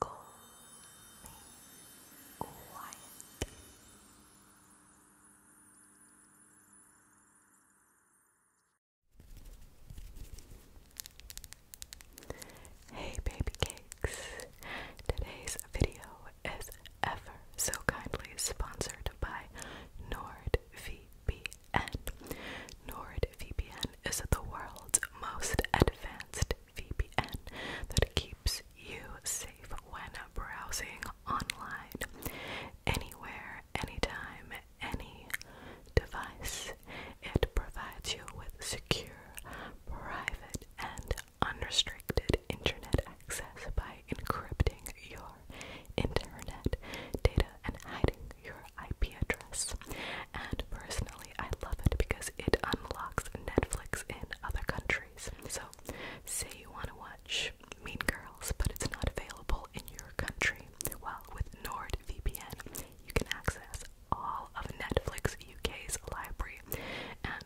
calmly, quietly. Hey baby cakes! Today's video is ever so kindly sponsored by NordVPN. NordVPN is the world's most advanced VPN that keeps you safe when browsing online. Anywhere, anytime, any device. It provides you with secure, private, and unrestricted internet access by encrypting your internet data and hiding your IP address and personally I love it because it unlocks Netflix in other countries. So say you want to watch Mean Girls but it's not available in your country. Well with NordVPN you can access all of Netflix UK's library and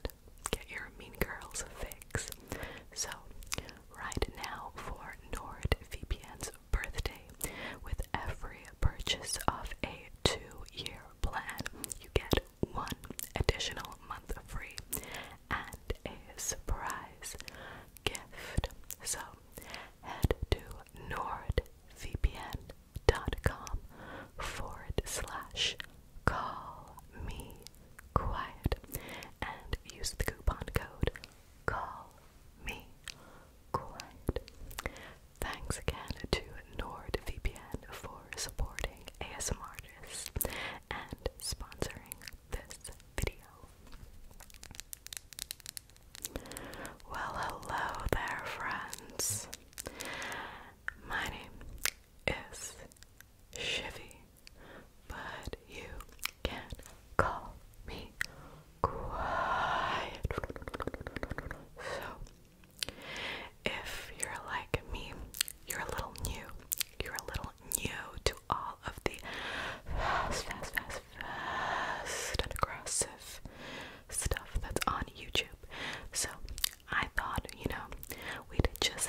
get your Mean Girls fix. So right now for NordVPN's birthday with every purchase of a two year plan, you get one additional month free and a surprise gift. So head to nordvpn.com forward slash call me quiet and use the coupon code call me quiet Thanks again to NordVPN for supporting ASM and sponsoring this video. Well, hello there, friends. My name is Shivy, but you can call me Quiet. So, if you're like me, you're a little new. You're a little new to all of the fast, fast, fast, fast, and aggressive stuff that's on YouTube. So I thought, you know, we'd just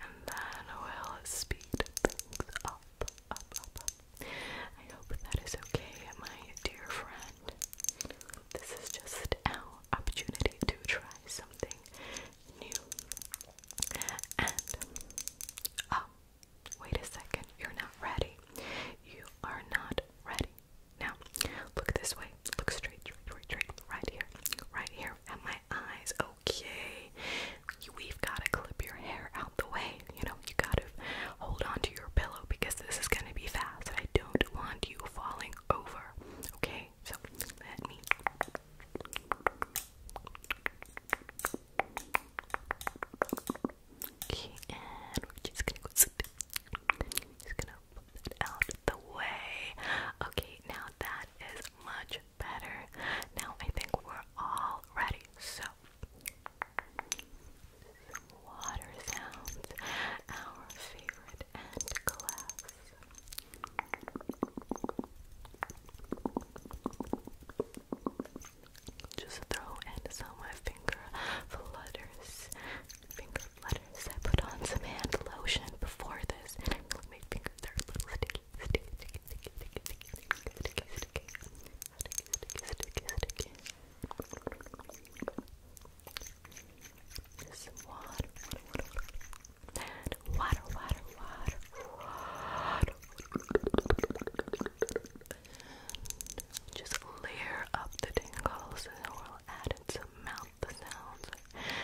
and then we'll speed things up, I hope that is okay, my dear friend. This is just our opportunity to try something new. And, oh, wait a second, you're not ready. You are not ready. Now, look this way. Look straight, straight, straight, straight, right here. Right here at my eyes. Oh, okay. We've got to clip your hair out the way. You know, you got to hold on your pillow because this is going to be fast. I don't want you falling over. Okay, so let me. just gonna go that out the way. Okay, now that is much better. Now I think we're all ready. So, water sounds, our favorite and class. Just throw in some my finger flutters. Finger flutters. I put on some hand lotion before this, and fingers are a little sticky sticky, sticky, sticky, sticky, sticky, sticky, sticky, sticky, sticky, This water, water, water, water, water, water, water, just layer up the tingles and we'll add in some mouth sounds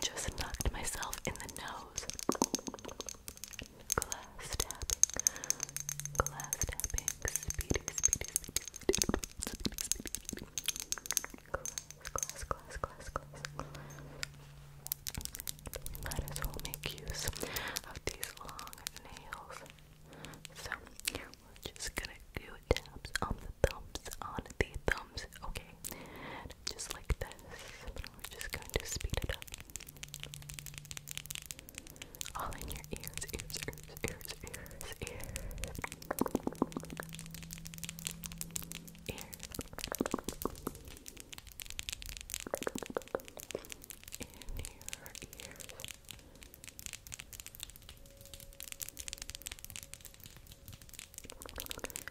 Just knocked myself in the nose. Glass tapping. Glass tapping. Speedy, speedy, speedy, speedy, speedy, speedy, speedy. Glass, glass, glass, glass, glass, Might as well make use of these long nails. So, just gonna do taps on the thumbs, on the thumbs, okay? just like this, we're just going to speed it up. All in your ears, ears, ears, ears, ears, ears. Ears. In your ears.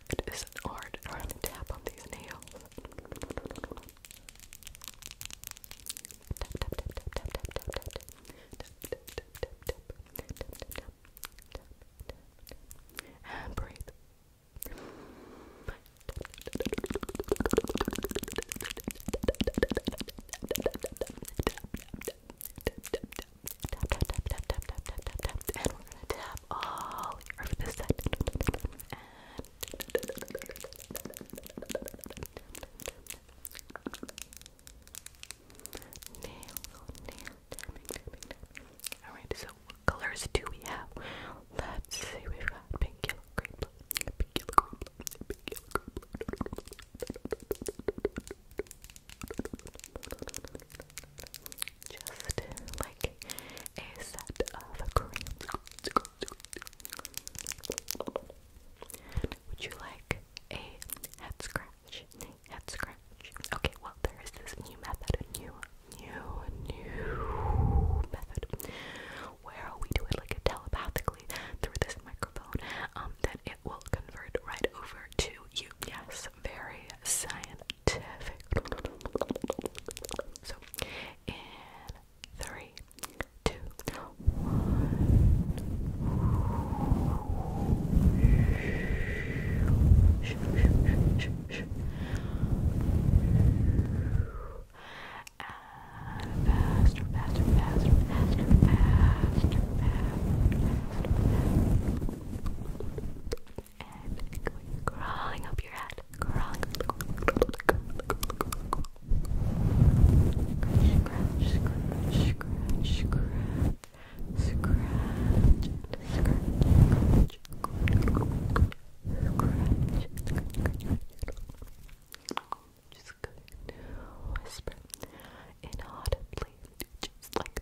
It isn't hard. to tap on these nails. Tap tap tap tap tap tap tap tap. Tap tap tap tap tap. Tap tap tap. Tap tap. And breathe. And we're gonna tap all over this side. Alright, so what colors do we have? Let's see, we've got pink, green, blue, pink, yellow, green, blue, pink, yellow, green, blue just like a set of creams. Would you like a head scratch? Head scratch. Okay, well there is this new method, a new, new, new method where we do it like telepathically through this microphone. Um, that it will convert right over to you. Yes, very scientific. So, three, two, one. faster, faster, faster, faster, faster, faster and going crawling up your head, crawling. up your head, scratch, scratch, scratch, scratch. inaudibly, just like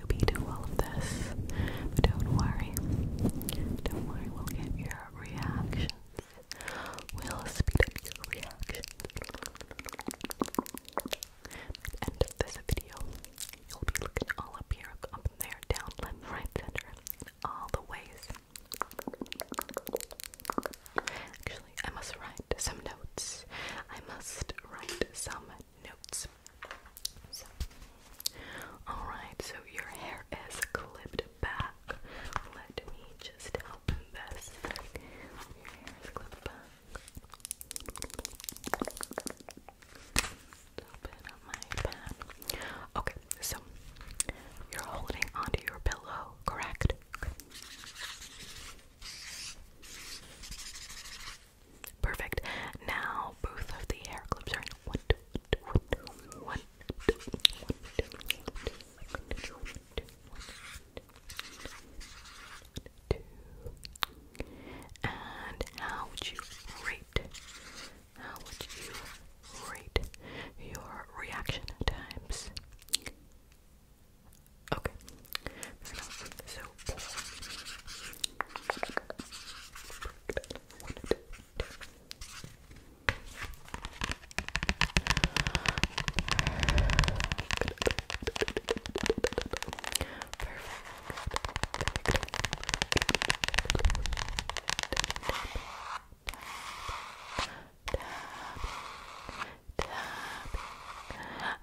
newbie to all of this, don't worry, don't worry, we'll get your reactions, we'll speed up your reactions. At this video, you'll be looking all up here, up there, down, left, right, center, all the ways. Actually, I must write some notes. I must write some notes. So, alright, so your hair is clipped back. Let me just help this. Your hair is clipped back. Open up my pen. Okay, so you're holding onto your pillow, correct? Perfect. Now both of the hair clips are in one, two, one, two, one, two, one, two, one, two, one, two, one, two. And how would you rate? How would you rate your reaction times? Okay. So soap. Perfect.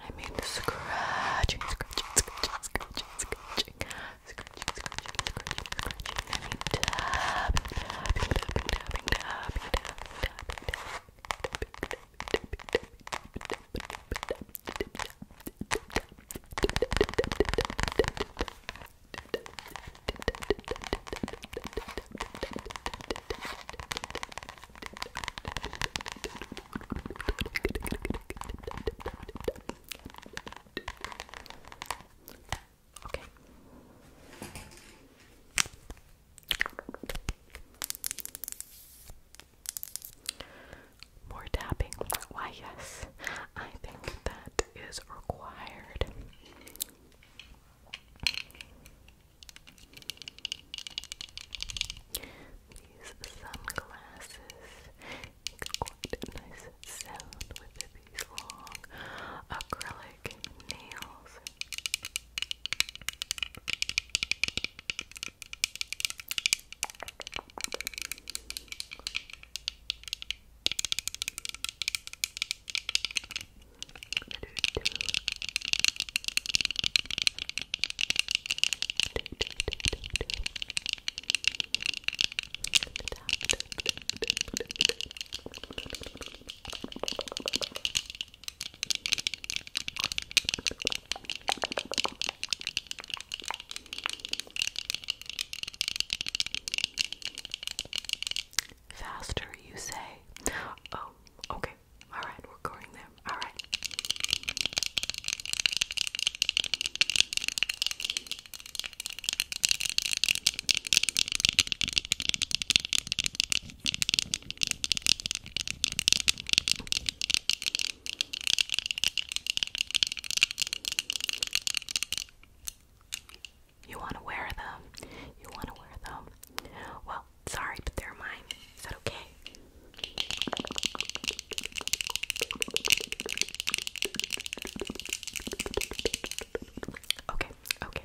I mean, scratching, scratching, scratching, scratching, scratching scratching, scratching, scratching, scratching, and tapping, tapping, tapping, tapping, tapping, tapping, tapping, Okay. More tapping. Why, yes, I think that is required. These sunglasses makes quite a nice sound with these long acrylic nails. Faster, you say. Oh, okay. All right, we're going there. All right. You want to wear them. You want to wear them. Well, sorry, but they're mine. Is that okay? Okay, okay.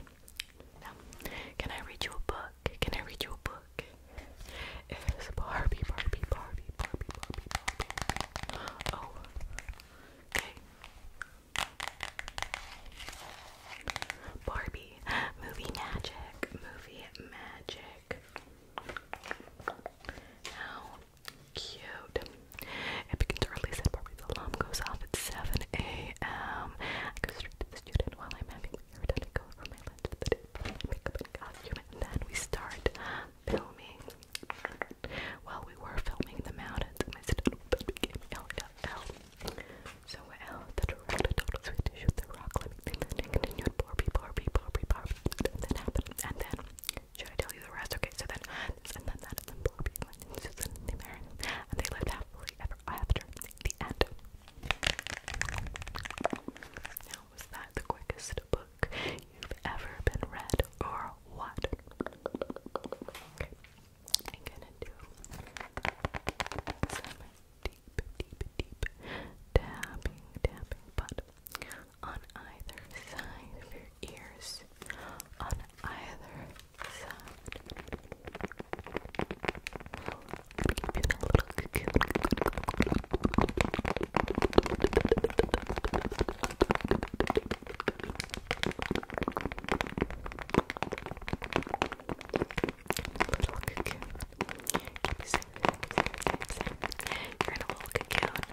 can I read you a book? Can I read you a book? It's Barbie, Barbie, Barbie, Barbie, Barbie, Barbie. Oh, okay. Barbie, movie magic, movie magic. Now, Cute. It begins early, said Barbie. The alarm goes off at 7 a.m. I go straight to the student while I'm having my hair done. I go over my lunch for the day for my makeup and then we start filming. Well, we were filming the mountains, and my student became LLL. So, well, the director told us to shoot the rock climbing thing, and then Barbie, Barbie, Barbie, Barbie, then happened, and then should I tell you the rest? Okay, so then and then that and then Bobby and Susan and they married and they lived happily ever after. The end. was that the quickest book you've ever been read or what? I'm gonna do some deep, deep, deep tapping, tapping, but on either side of your ears, on either side. Little cocoon. Keep you safe, keep you safe, keep you safe. You're in a little cocoon.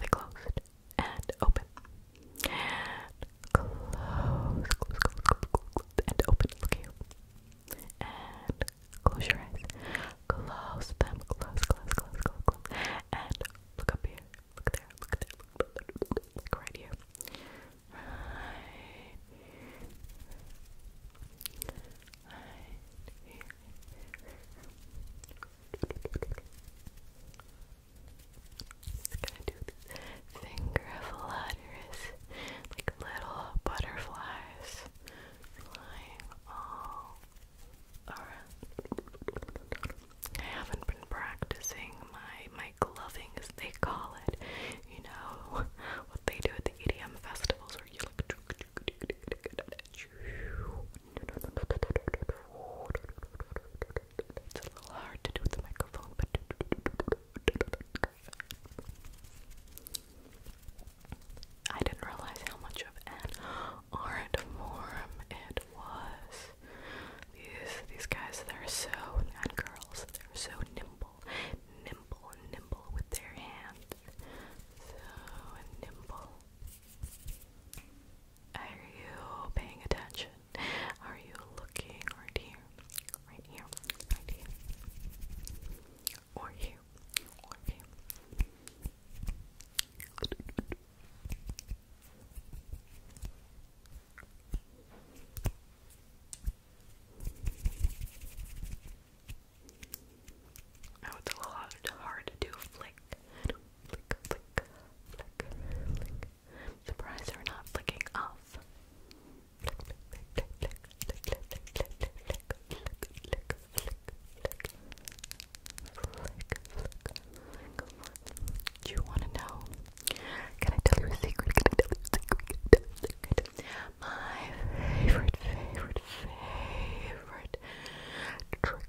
we closed and open and close, close, close, close, close and open. Look here and close your eyes. Close them. Close, close, close, close, close. And look up here. Look there. Look there. Look, look, look, look, look right here. Right. Right here. Right just gonna do this finger flutters, like little butterflies flying all around. I haven't been practicing my my gloving, as they call it. You know what they do at the EDM festivals, where you like It's a little hard to do with the microphone, but I didn't realize how much of an art form it was. These these guys, they're so and girls, they're so nimble, nimble, nimble with their hands. So nimble. Are you paying attention? Are you looking right here? Right here, right here. Or here, or here. Oh, it's a lot hard to flick flick, flick, flick, flick. Surprise not flicking off. Do you want to know? Can I tell you a secret? Can I tell you a secret? My favorite, favorite, favorite trick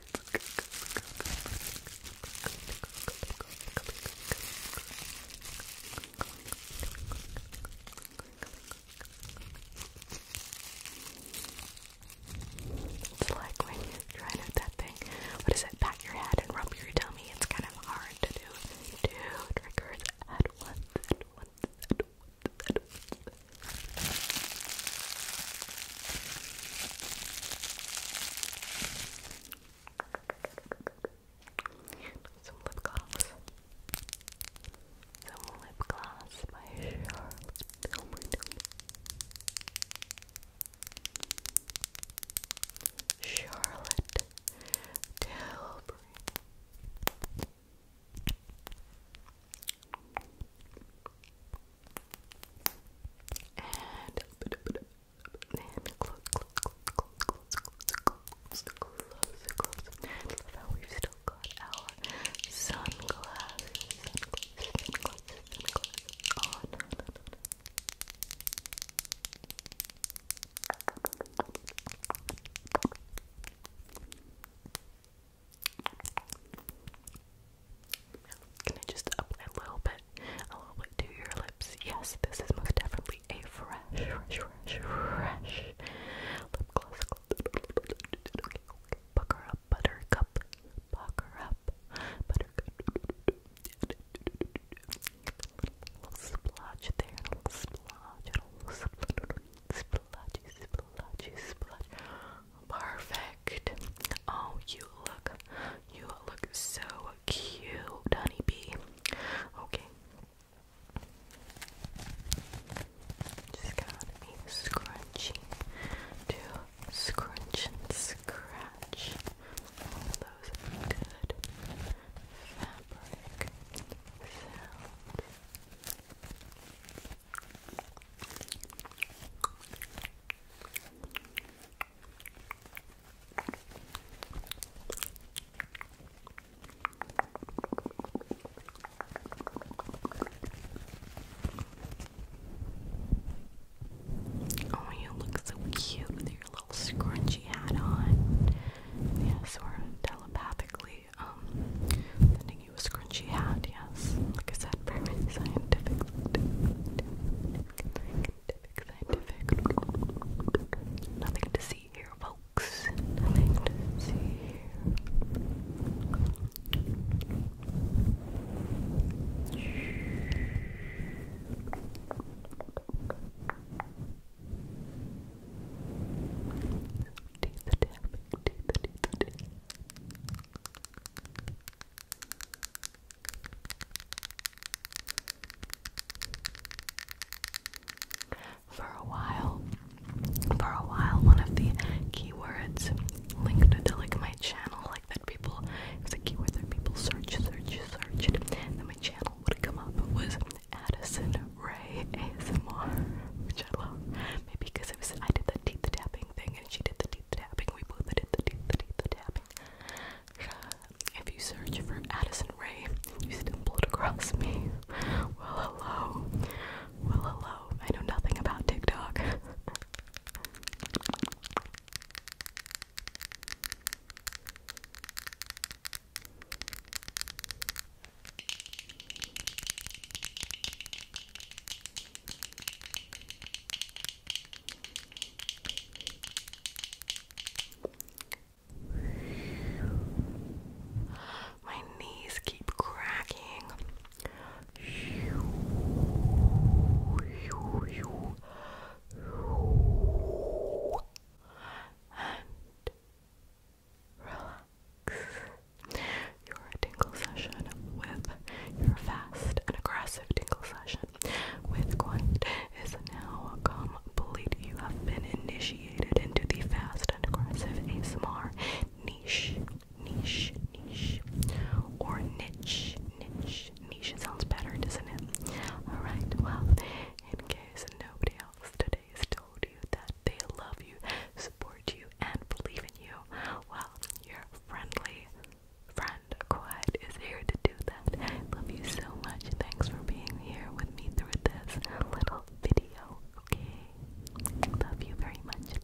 It's like when you're trying out that thing. What is it? Pat your head and rub your tummy. It's kind of hard to do two triggers at once, at once, at once, at once. Some lip gloss. Some lip gloss by Charlotte Tilbury. Charlotte Tilbury. And and close, close, close, close, close, close, close, close. love how we've still got our sunglasses, sunglasses, sunglasses, on. Can I just apply a little bit, a little bit to your lips? Yes, this is most definitely a fresh, fresh, fresh, lip gloss. Okay, Pucker up, buttercup. Pucker up, buttercup. A little splotch there, a little splotch, a little splotch, splotchy, splotchy, splotch. Perfect. Oh, you look, you look so cute, honeybee. Okay. Just gotta be scrunchy to scrunch and scratch all those good fabric sounds. Oh, you look so cute with your little scrunchy hat on. Yes, yeah, so we're telepathically um sending you a scrunchy hat, yes, like I said, scientific, scientific, scientific, scientific. Nothing to see here, folks. Nothing to see here. Do for a while, for a while, one of the keywords linked to like my channel, like that people, it was keyword that people search, search, searched, then my channel would come up was Addison Ray ASMR, which I love. Maybe because it was I did the teeth tapping thing and she did the tapping. We both did the tapping. If you search for Addison Ray, you stumbled across me. Well, hello. Well, hello. I know nothing about TikTok. My knees keep cracking. And relax. Your tingle session with your fast and aggressive exclusive tingle session with Quiet is now complete. You have been initiated into the fast and aggressive ASMR niche, niche, niche, or niche, niche, niche. Sounds better, doesn't it? Alright, well, in case nobody else today has told you that they love you, support you, and believe in you, well, your friendly friend and is here to do that. I love you so much. Thanks for being here with me through this little video. Okay, love you very much.